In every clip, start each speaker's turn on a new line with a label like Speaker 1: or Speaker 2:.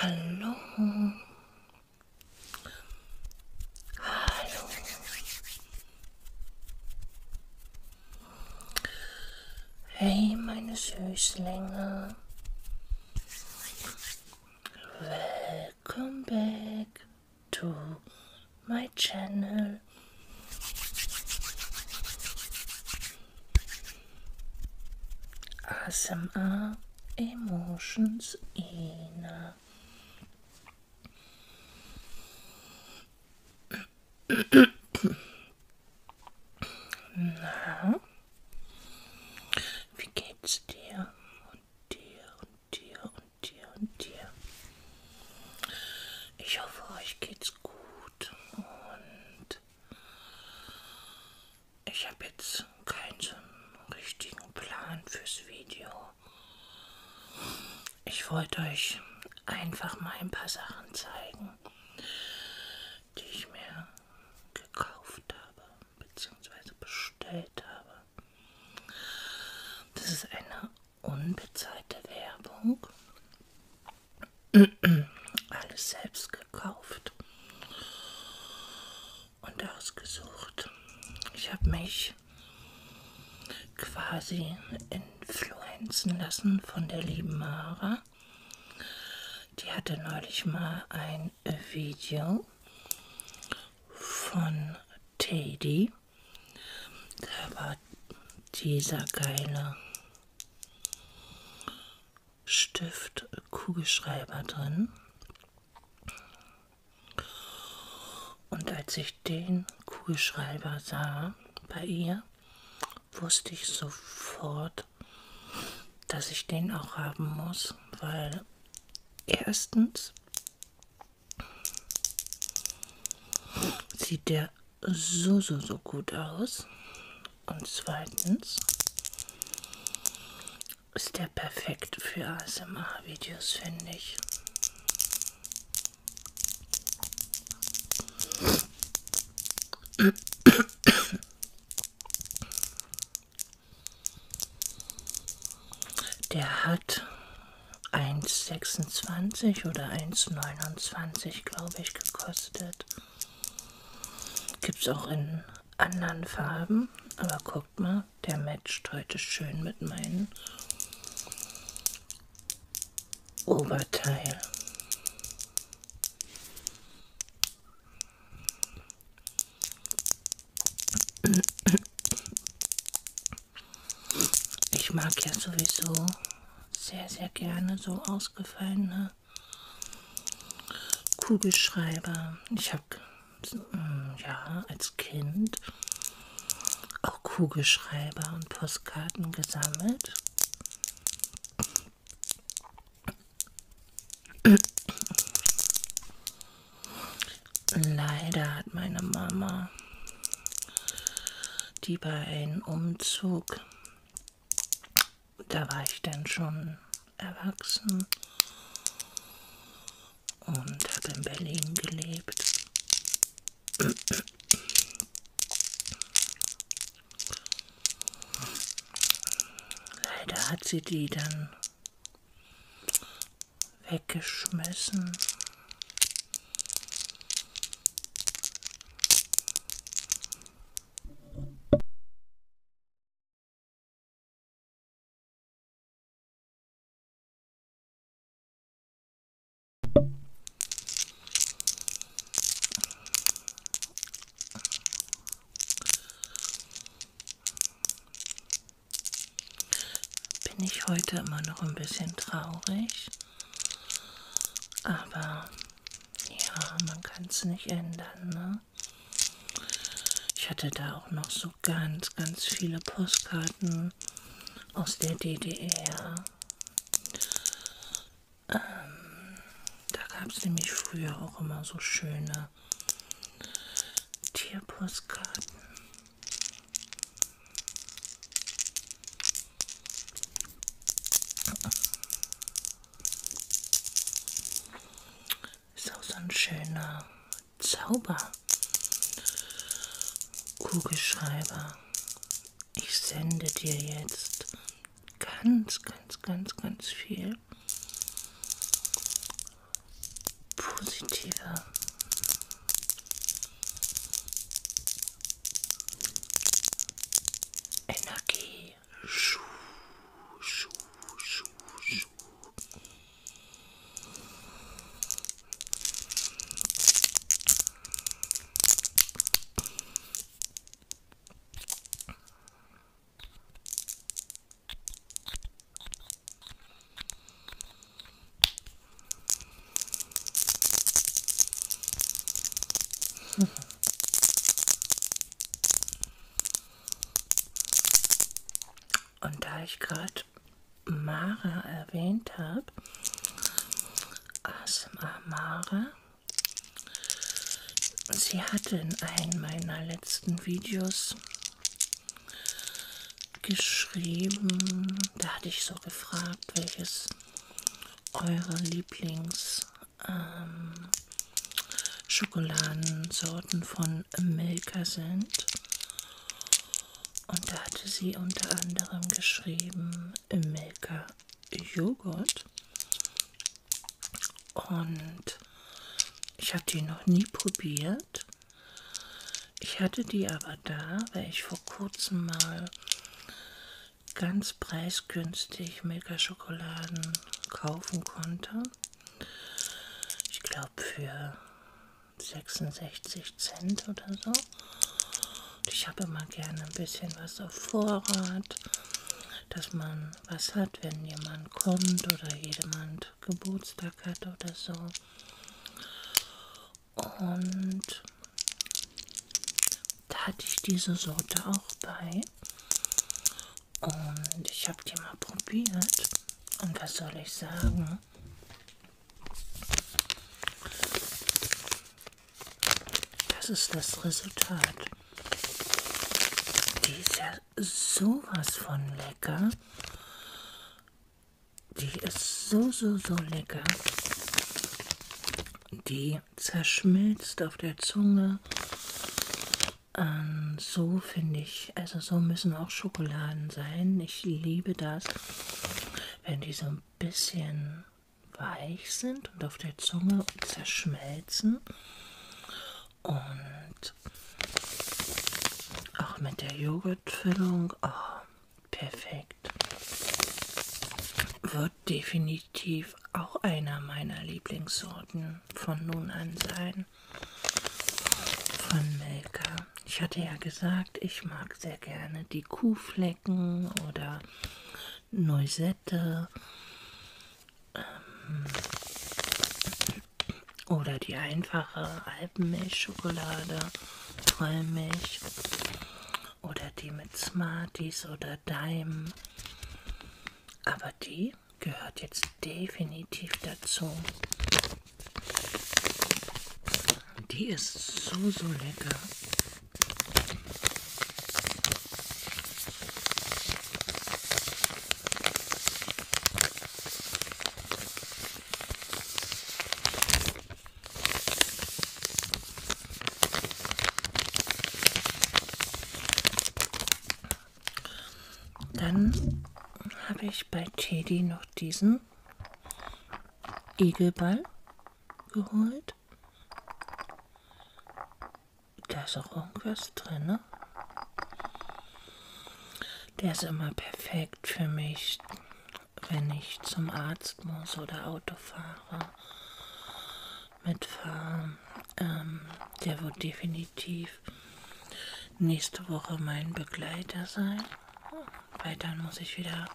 Speaker 1: Hallo. Hallo. Hey, meine Süßlinge. Come back to my channel. ASMR Emotions Ina. Na, wie geht's und dir und dir. Ich hoffe, euch geht's gut und ich habe jetzt keinen so richtigen Plan fürs Video. Ich wollte euch einfach mal ein paar Sachen zeigen, die ich mir gekauft habe bzw. bestellt habe. Das ist eine unbezahlte Werbung. Alles selbst gekauft und ausgesucht. Ich habe mich quasi influenzen lassen von der lieben Mara. Die hatte neulich mal ein Video von Teddy. Aber dieser geile Stift Kugelschreiber drin. Und als ich den Kugelschreiber sah bei ihr, wusste ich sofort, dass ich den auch haben muss, weil erstens sieht der so, so, so gut aus. Und zweitens ist der perfekt für ASMR-Videos, finde ich. Der hat 1,26 oder 1,29 glaube ich gekostet. Gibt es auch in anderen Farben. Aber guckt mal, der matcht heute schön mit meinem Oberteil. Ich mag ja sowieso sehr, sehr gerne so ausgefallene Kugelschreiber. Ich habe hm, ja als Kind auch Kugelschreiber und Postkarten gesammelt. Leider hat meine Mama, die bei einem Umzug, da war ich dann schon erwachsen und habe in Berlin gelebt. Leider hat sie die dann weggeschmissen bin ich heute immer noch ein bisschen traurig. Aber ja, man kann es nicht ändern. Ne? Ich hatte da auch noch so ganz, ganz viele Postkarten aus der DDR. Ähm, da gab es nämlich früher auch immer so schöne Tierpostkarten. Ist auch so ein schöner Zauber. Kugelschreiber. Ich sende dir jetzt ganz, ganz, ganz, ganz viel positive Energie. Schuh, schuh, schuh, schuh. Und da ich gerade Mara erwähnt habe, ASMR Mara, sie hatte in einem meiner letzten Videos geschrieben. Da hatte ich so gefragt, welches eure Lieblings ähm, Schokoladensorten von Milka sind. Und da hatte sie unter anderem geschrieben Milka Joghurt. Und ich habe die noch nie probiert alt. Ich hatte die aber da, weil ich vor kurzem mal ganz preisgünstig Milka-Schokoladen kaufen konnte. Ich glaube für 66 Cent oder so. Und ich habe immer gerne ein bisschen was auf Vorrat, dass man was hat, wenn jemand kommt oder jemand Geburtstag hat oder so. Und da hatte ich diese Sorte auch bei. Und ich habe die mal probiert. Und was soll ich sagen? Das ist das Resultat. Die ist ja sowas von lecker. Die ist so, so, so lecker. Die zerschmilzt auf der Zunge. Ähm, so finde ich, also so müssen auch Schokoladen sein. Ich liebe das, wenn die so ein bisschen weich sind und auf der Zunge zerschmelzen. Und auch mit der Joghurt Lötfüllung. Oh, ah, perfekt. Wird definitiv auch einer meiner Lieblingssorten von nun an sein. Von Melka. Ich hatte ja gesagt, ich mag sehr gerne die Kuhflecken oder Neusette. Ähm, oder die einfache Alpenmilchschokolade, Vollmilch. Oder die mit Smarties oder Daim. Aber die gehört jetzt definitiv dazu. Die ist so, so lecker. Dann habe ich bei Teddy noch diesen Igelball geholt. Da ist auch irgendwas drin, ne? Der ist immer perfekt für mich, wenn ich zum Arzt muss oder Auto fahre, mitfahre. Ähm, der wird definitiv nächste Woche mein Begleiter sein. Weil dann muss ich wieder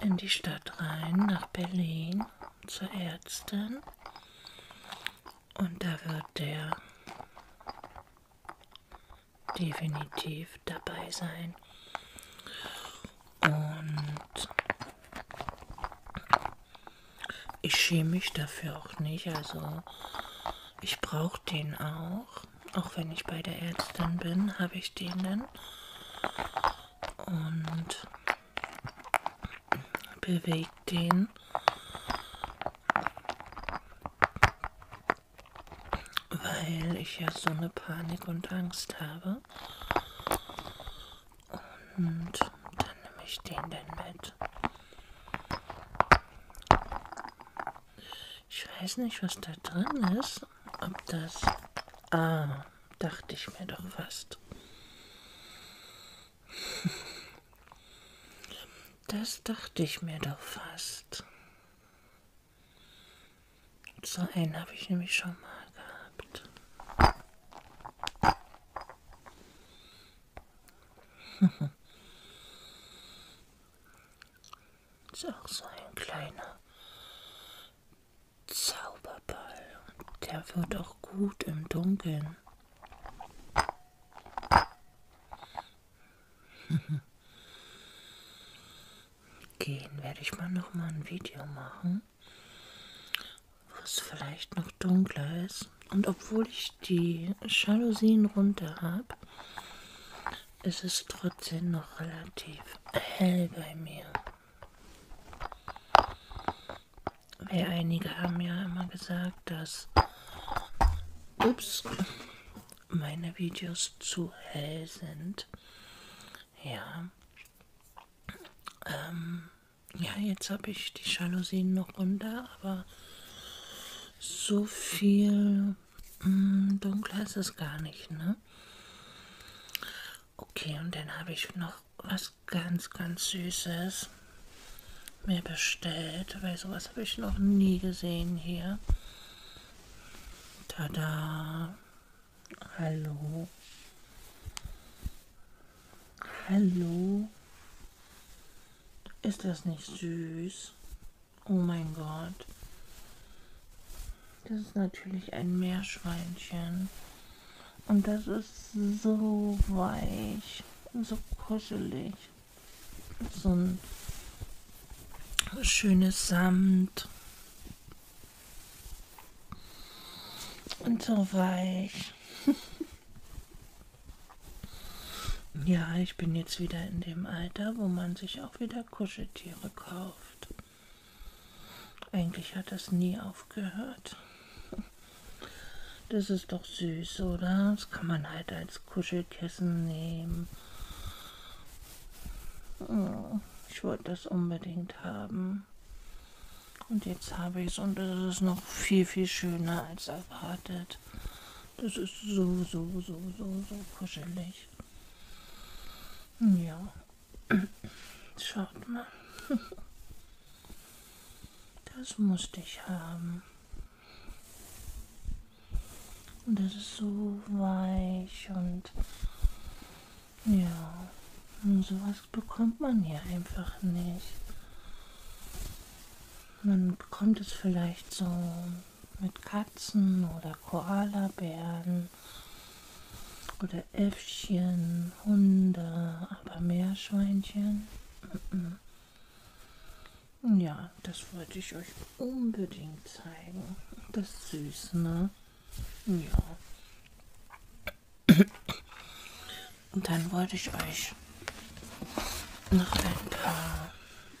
Speaker 1: in die Stadt rein, nach Berlin, zur Ärztin. Und da wird der definitiv dabei sein. Und ich schäme mich dafür auch nicht. Also ich brauche den auch. Auch wenn ich bei der Ärztin bin, habe ich den dann. Und bewege den weil ich ja so eine Panik und Angst habe. Und dann nehme ich den denn mit. Ich weiß nicht, was da drin ist. Ob das... Ah, dachte ich mir doch fast. Das dachte ich mir doch fast. So einen habe ich nämlich schon mal gehabt. Ist auch so ein kleiner Zauberball. Der wird auch gut im Dunkeln. gehen, werde ich mal noch mal ein Video machen, was vielleicht noch dunkler ist. Und obwohl ich die Jalousien runter habe, ist es trotzdem noch relativ hell bei mir. Weil einige haben ja immer gesagt, dass ups, meine Videos zu hell sind. Ja. Ähm, ja, jetzt habe ich die Jalousien noch runter, aber so viel mh, hm, dunkler ist es gar nicht, ne? Okay, und dann habe ich noch was ganz, ganz Süßes mir bestellt, weil sowas habe ich noch nie gesehen hier. Tada. Hallo. Hallo. Ist das nicht süß? Oh mein Gott. Das ist natürlich ein Meerschweinchen. Und das ist so weich, so kuschelig so ein schönes Samt und so weich. ja, ich bin jetzt wieder in dem Alter, wo man sich auch wieder Kuscheltiere kauft. Eigentlich hat das nie aufgehört. Das ist doch süß, oder? Das kann man halt als Kuschelkissen nehmen Oh, ich wollte das unbedingt haben. Und jetzt habe ich es und es ist noch viel, viel schöner als erwartet. Das ist so, so, so, so, so kuschelig. Ja. Schaut mal. Das musste ich haben. Und es ist so weich und ja, und sowas bekommt man hier einfach nicht. Man bekommt es vielleicht so mit Katzen oder Koalabären oder Äffchen, Hunde, aber Meerschweinchen. Ja, das wollte ich euch unbedingt zeigen. Das ist süß, ne? Ja. Und dann wollte ich euch noch ein paar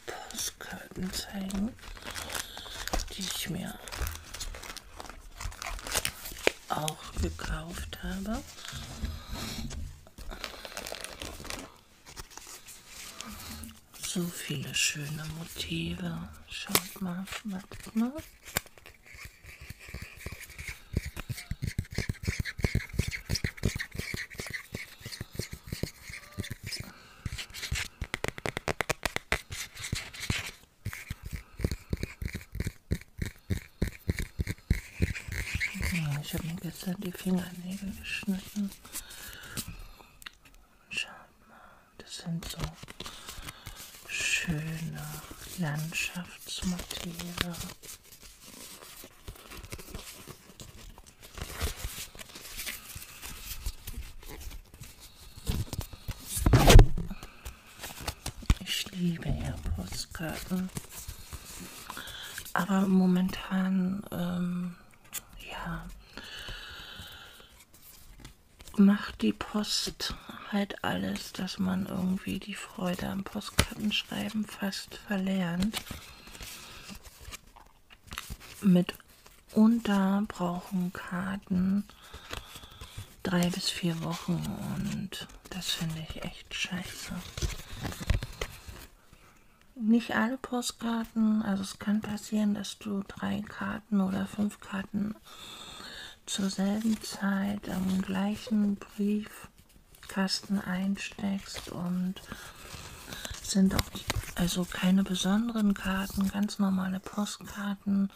Speaker 1: Postkarten zeigen, die ich mir auch gekauft habe. So viele schöne Motive. Schaut mal, warte mal. Ich habe mir gestern die Fingernägel geschnitten. Schaut mal, das sind so schöne Landschaftsmotive. Ich liebe ja Postkarten. Aber momentan ähm, ja, macht die Post halt alles, dass man irgendwie die Freude am Postkartenschreiben fast verlernt. Mitunter brauchen Karten drei bis vier Wochen und das finde ich echt scheiße nicht alle Postkarten. Also es kann passieren, dass du drei Karten oder fünf Karten zur selben Zeit am gleichen Briefkasten einsteckst und sind auch die, also keine besonderen Karten, ganz normale Postkarten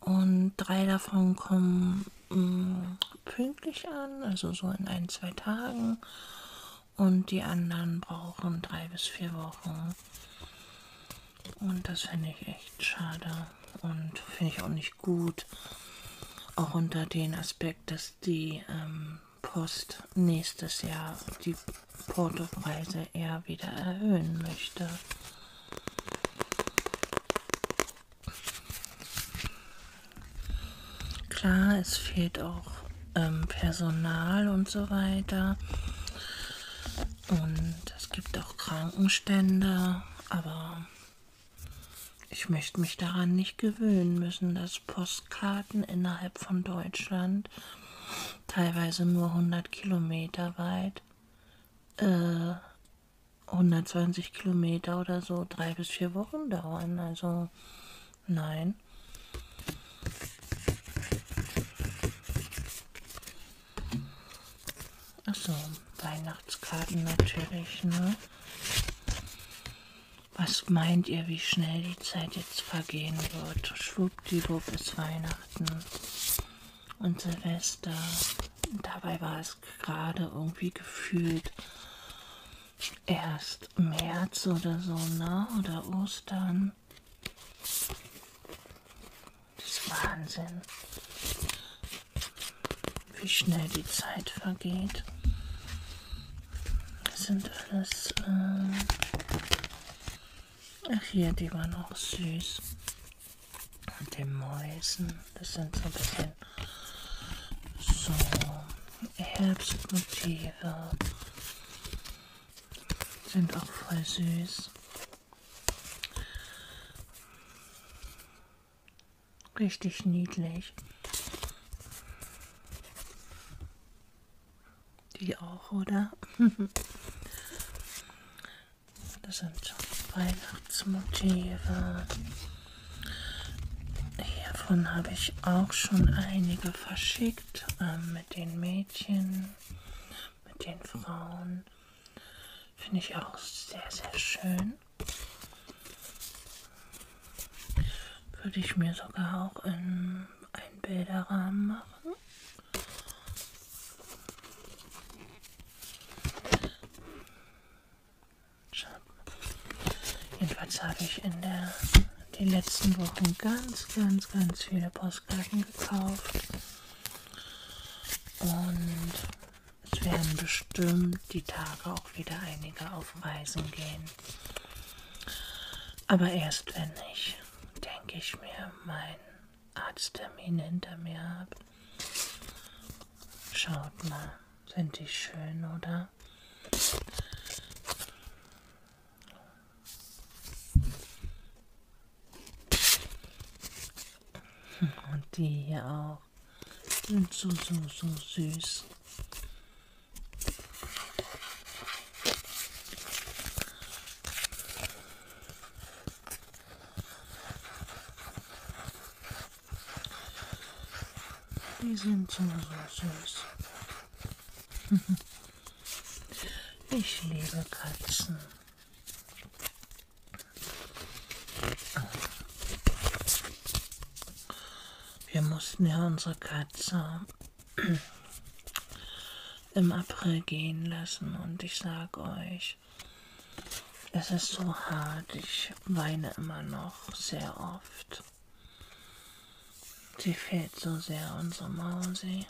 Speaker 1: und drei davon kommen mh, mm, pünktlich an, also so in ein, zwei Tagen und die anderen brauchen drei bis vier Wochen. Und das finde ich echt schade und finde ich auch nicht gut. Auch unter den Aspekt, dass die ähm, Post nächstes Jahr die Portopreise eher wieder erhöhen möchte. Klar, es fehlt auch ähm, Personal und so weiter. Und es gibt auch Krankenstände, aber ich möchte mich daran nicht gewöhnen müssen, dass Postkarten innerhalb von Deutschland teilweise nur 100 Kilometer weit, äh, 120 Kilometer oder so, drei bis vier Wochen dauern. Also Nein. Achso, Weihnachtskarten natürlich, ne? Was meint ihr, wie schnell die Zeit jetzt vergehen wird? Schwuppdiwupp ist Weihnachten und Silvester. Dabei war es gerade irgendwie gefühlt erst März oder so, ne? Oder Ostern. Das ist Wahnsinn, wie schnell die Zeit vergeht. Das sind alles... Äh Ach hier, die waren auch süß. Und den Mäusen, das sind so ein bisschen so Herbstmotive. Sind auch voll süß. Richtig niedlich. Die auch, oder? das sind Weihnachtsmotive. Hiervon habe ich auch schon einige verschickt geschickt ähm, mit den Mädchen, mit den Frauen. Finde ich auch sehr, sehr schön. Würde ich mir sogar auch in einen Bilderrahmen machen. Jedenfalls habe ich in der die letzten Wochen ganz, ganz, ganz viele Postkarten gekauft. Und es werden bestimmt die Tage auch wieder einige auf Reisen gehen. Aber erst wenn ich, denke ich mir, meinen Arzttermin hinter mir habe. Schaut mal, sind die schön, oder? Und die hier auch. Und so, so, so süß. Die sind so, so süß. Ich liebe Katzen. Wir mussten ja unsere Katze im April gehen lassen und ich sage euch, es ist so hart. Ich weine immer noch sehr oft. Sie fehlt so sehr, unsere Mausi.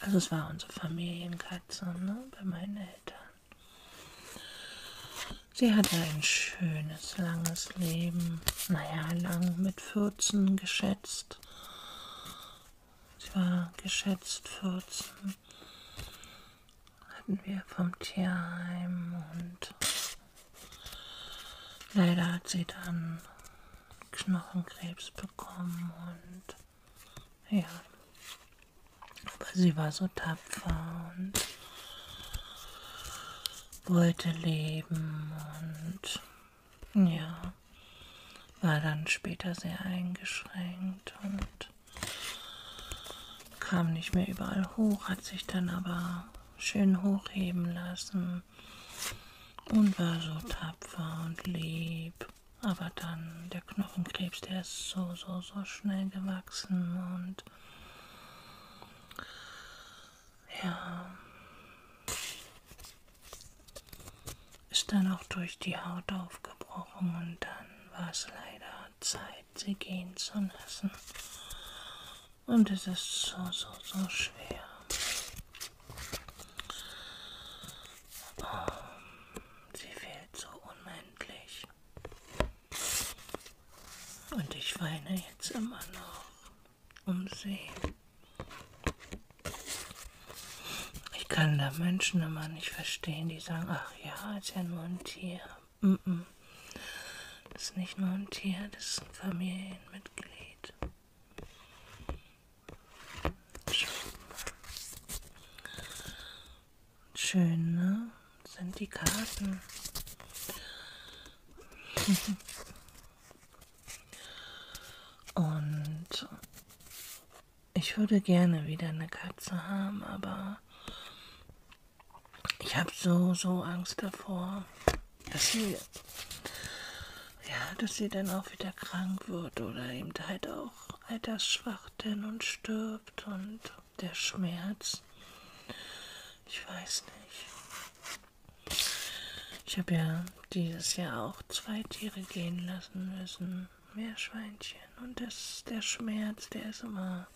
Speaker 1: Also es war unsere Familienkatze, ne? Bei meinen Eltern. Sie hatte ein schönes, langes Leben. Naja, lang mit 14 geschätzt. Sie war geschätzt 14. Hatten wir vom Tierheim und Leider hat sie dann Knochenkrebs bekommen und ja. Aber sie war so tapfer und wollte leben und ja, war dann später sehr eingeschränkt und kam nicht mehr überall hoch, hat sich dann aber schön hochheben lassen haben und war so tapfer und lieb. Aber dann der Knochenkrebs, der ist so, so, so schnell gewachsen und ja, ist dann auch durch die Haut aufgebrochen und dann war es leider Zeit, sie gehen zu lassen. Und es ist so, so, so schwer. Oh, sie fehlt so unendlich. Und ich weine jetzt immer noch um sie. Ich kann da Menschen immer nicht verstehen, die sagen, ach ja, ist ja nur ein Tier. Mm -mm. Das ist nicht nur ein Tier, das ist ein Familienmitglied. Schön, ne? Sind die Karten. Und ich würde gerne wieder eine Katze haben, aber ich habe so, so Angst davor dass sie, ja, dass sie dann auch wieder krank wird oder eben halt auch altersschwach denn und stirbt und der Schmerz. Ich weiß nicht. Ich habe ja dieses Jahr auch zwei Tiere gehen lassen müssen. Meerschweinchen. Und das, der Schmerz, der ist immer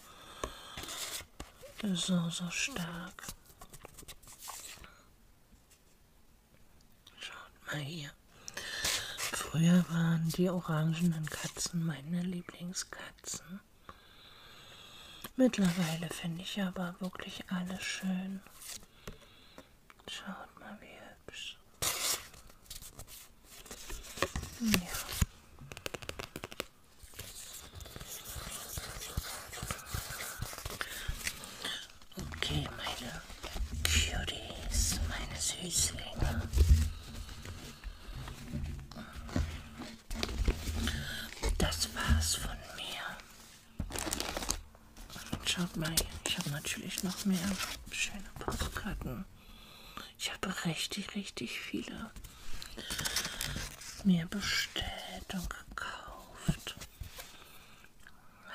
Speaker 1: so, so stark. Schaut mal hier. Früher waren die orangenen Katzen meine Lieblingskatzen. Mittlerweile finde ich aber wirklich alles schön. Schaut mal, wie hübsch. Ja. Okay, meine Cuties, meine Süßlinge. Das war's von mir. Und schaut mal, ich habe natürlich noch mehr schöne Postkarten. Ich habe richtig, richtig viele mir bestellt und gekauft.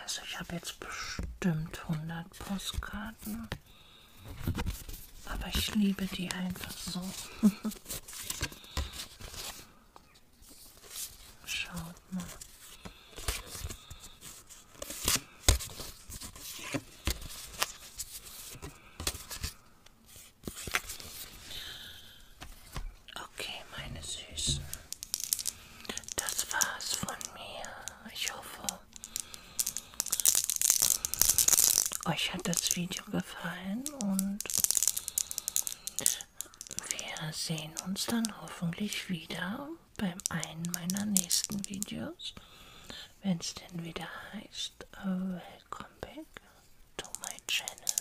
Speaker 1: Also ich habe jetzt bestimmt 100 Postkarten. Aber ich liebe die einfach so. Schaut mal. Okay, meine Süßen. Das war's von mir. Ich hoffe, euch hat das Video gefallen und wir sehen uns dann hoffentlich wieder beim einen meiner nächsten Videos, wenn es denn wieder heißt, äh, Welcome back to my channel.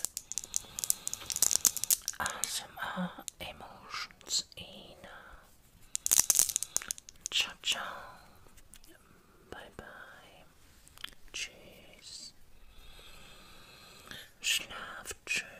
Speaker 1: ASMR emotions in uh, ciao ciao bye bye tschüss schlaft schön